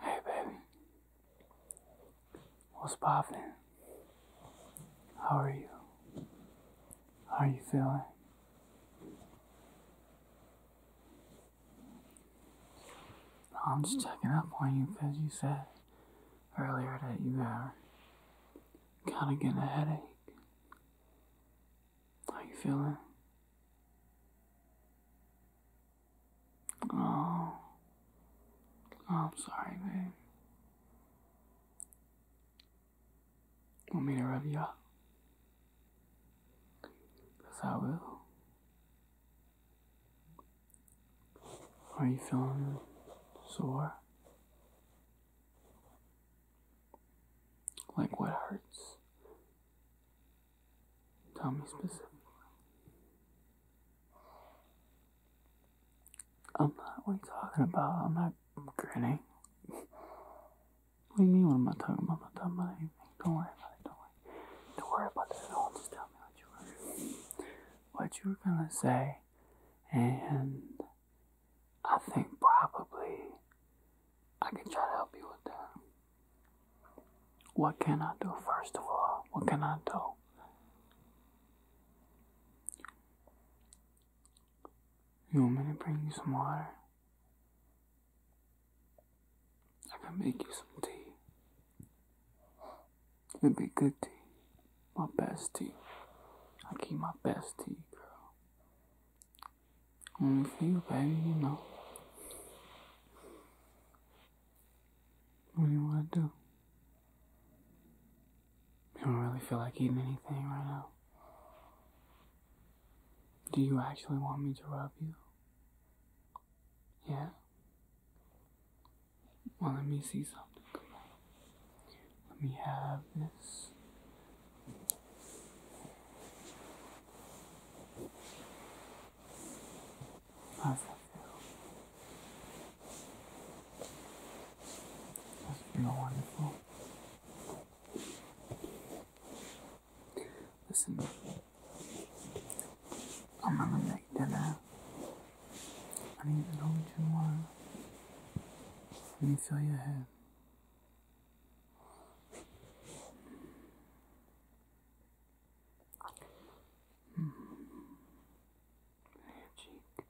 Hey, baby. What's poppin'? How are you? How are you feeling? I'm just checking up on you because you said earlier that you were kind of getting a headache. How you feeling? Oh. oh. I'm sorry, babe. Want me to rub you up? Because I will. Are you feeling sore? Like what hurts? Tell me specifically. I'm not, what are you talking about? I'm not grinning. what do you mean what am I talking about? am not talking about anything. Don't worry about it, don't worry. Don't worry about that at all. Just tell me what you were what you were gonna say. And I think probably I can try to help you with that. What can I do, first of all? What can I do? You want me to bring you some water? I can make you some tea. it will be good tea. My best tea. I keep my best tea, girl. Only for you, baby, you know. What you want to do? You don't really feel like eating anything right now. Do you actually want me to rub you? Yeah? Well, let me see something. Let me have this. I love you. You're wonderful. Listen, I'm gonna make dinner. I need to know what Let me feel your head. Magic.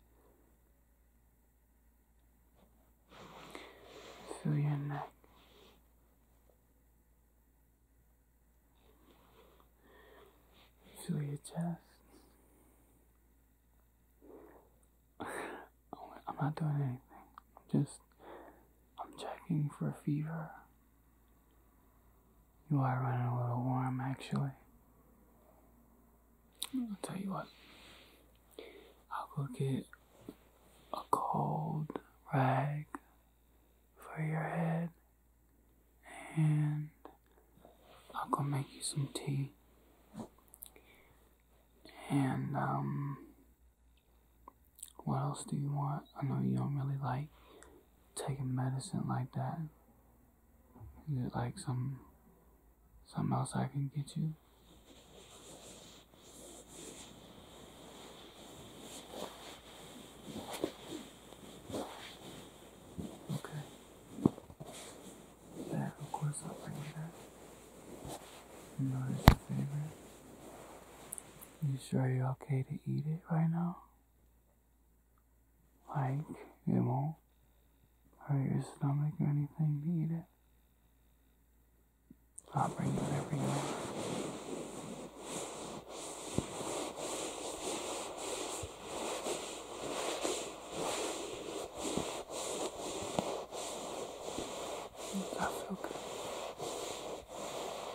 Through your neck. Through your chest. Oh, I'm not doing anything. I'm just. I'm checking for fever. You are running a little warm, actually. I'll tell you what. I'll go get a cold rag for your head, and I'll go make you some tea. And, um, what else do you want? I know you don't really like taking medicine like that. Is it like some something else I can get you? Okay. Yeah, of course I'll bring that. You your favorite. You sure you're okay to eat it right now? Like, it won't hurt your stomach or anything to eat it? I'll bring you whatever you want. I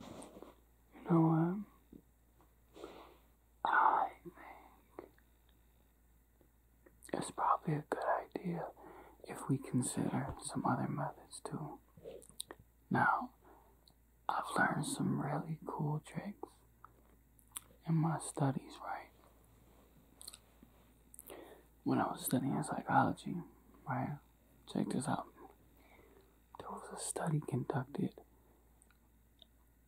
You know what? I think it's probably a good idea if we consider some other methods too. Now, I've learned some really cool tricks in my studies, right? When I was studying psychology, right? check this out. There was a study conducted.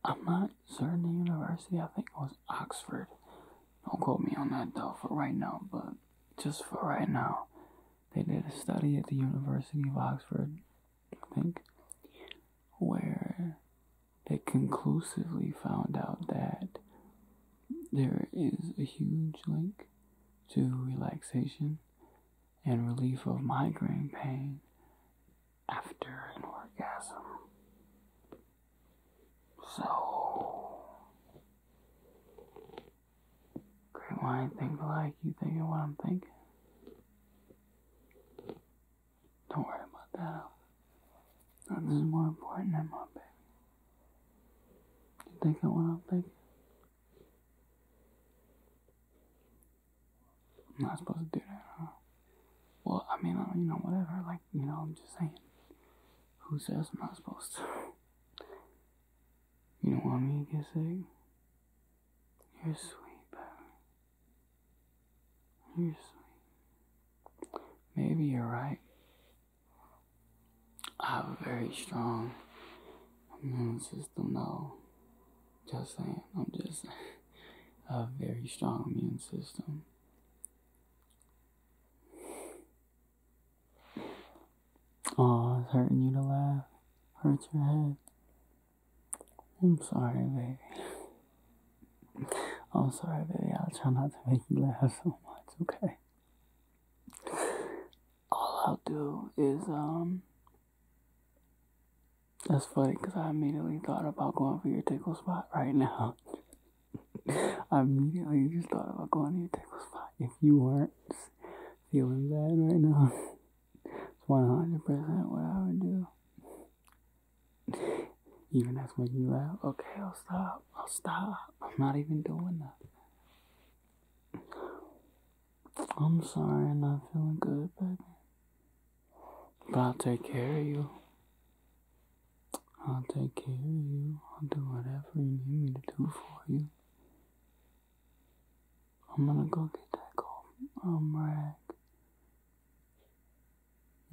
I'm not certain the university, I think it was Oxford. Don't quote me on that though for right now, but just for right now. They did a study at the University of Oxford, I think, where they conclusively found out that there is a huge link to relaxation and relief of migraine pain after an orgasm. So, great mind think like you thinking what I'm thinking. Don't worry about that. This is more important than my baby. You think I want am thinking? I'm not supposed to do that, Well, I mean, you know, whatever. Like, you know, I'm just saying. Who says I'm not supposed to? You don't want me to get sick? You're sweet, baby. You're sweet. Maybe you're right. I have a very strong immune system, though. Just saying, I'm just a very strong immune system. Oh, it's hurting you to laugh. Hurts your head. I'm sorry, baby. I'm sorry, baby. I'll try not to make you laugh so much, okay? all I'll do is, um, that's funny because I immediately thought about going for your tickle spot right now. I immediately just thought about going to your tickle spot. If you are not feeling bad right now, it's 100% what I would do. Even that's making you laugh. Okay, I'll stop. I'll stop. I'm not even doing that. I'm sorry I'm not feeling good, baby. But I'll take care of you. I'll take care of you. I'll do whatever you need me to do for you. I'm gonna go get that I'm um, rag.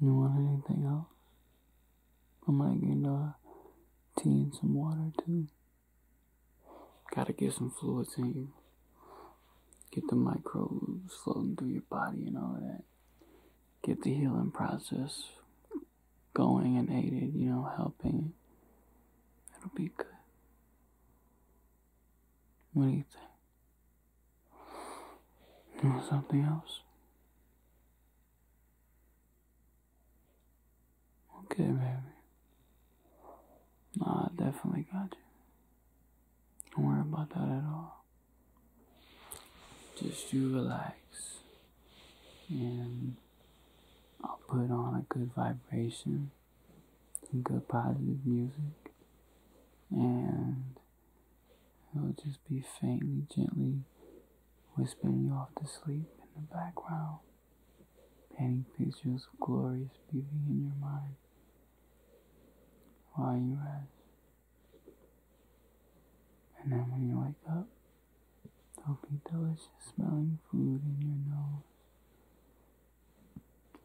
You want anything else? I might get a tea and some water too. Gotta get some fluids in Get the microbes flowing through your body and all that. Get the healing process going and aided, you know, helping. It'll be good. What do you think? something else? Okay, baby. Nah, I definitely got you. Don't worry about that at all. Just you relax. And I'll put on a good vibration, some good positive music, and i will just be faintly, gently whispering you off to sleep in the background painting pictures of glorious beauty in your mind while you rest. And then when you wake up, there'll be delicious smelling food in your nose.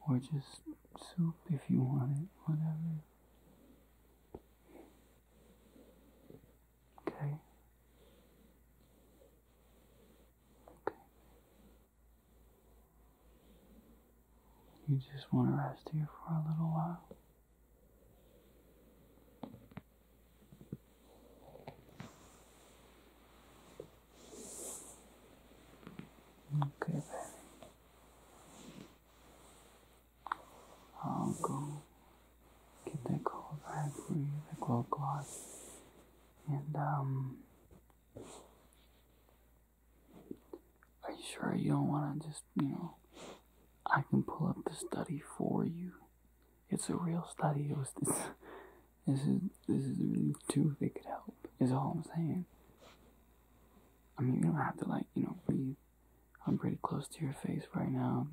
Or just soup if you want it, whatever. Okay. Okay. You just want to rest here for a little while. Okay, baby. I'll go get that cold rag for you, that and, um, are you sure you don't want to just, you know, I can pull up the study for you. It's a real study. It was this. This is this is really too thick to help. Is all I'm saying. I mean, you don't have to like you know breathe. I'm pretty close to your face right now,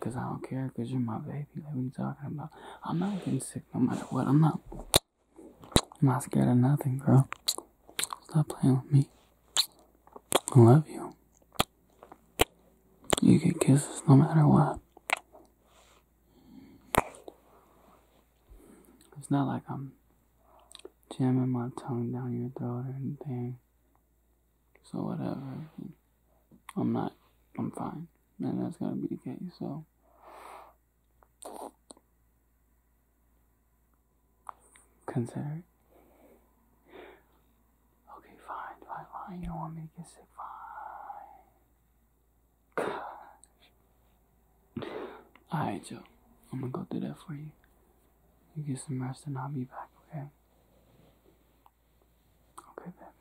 cause I don't care, cause you're my baby. Like what are you talking about? I'm not getting sick no matter what. I'm not I'm not scared of nothing, girl. Stop playing with me. I love you. You get kisses no matter what. It's not like I'm jamming my tongue down your throat or anything. So whatever. I'm not, I'm fine. And that's going to be the case. So, consider it. Okay, fine, fine, fine. You don't want me to get sick, fine. Gosh. Alright, Joe. I'm going to go do that for you. You get some rest and I'll be back, okay? Okay, baby.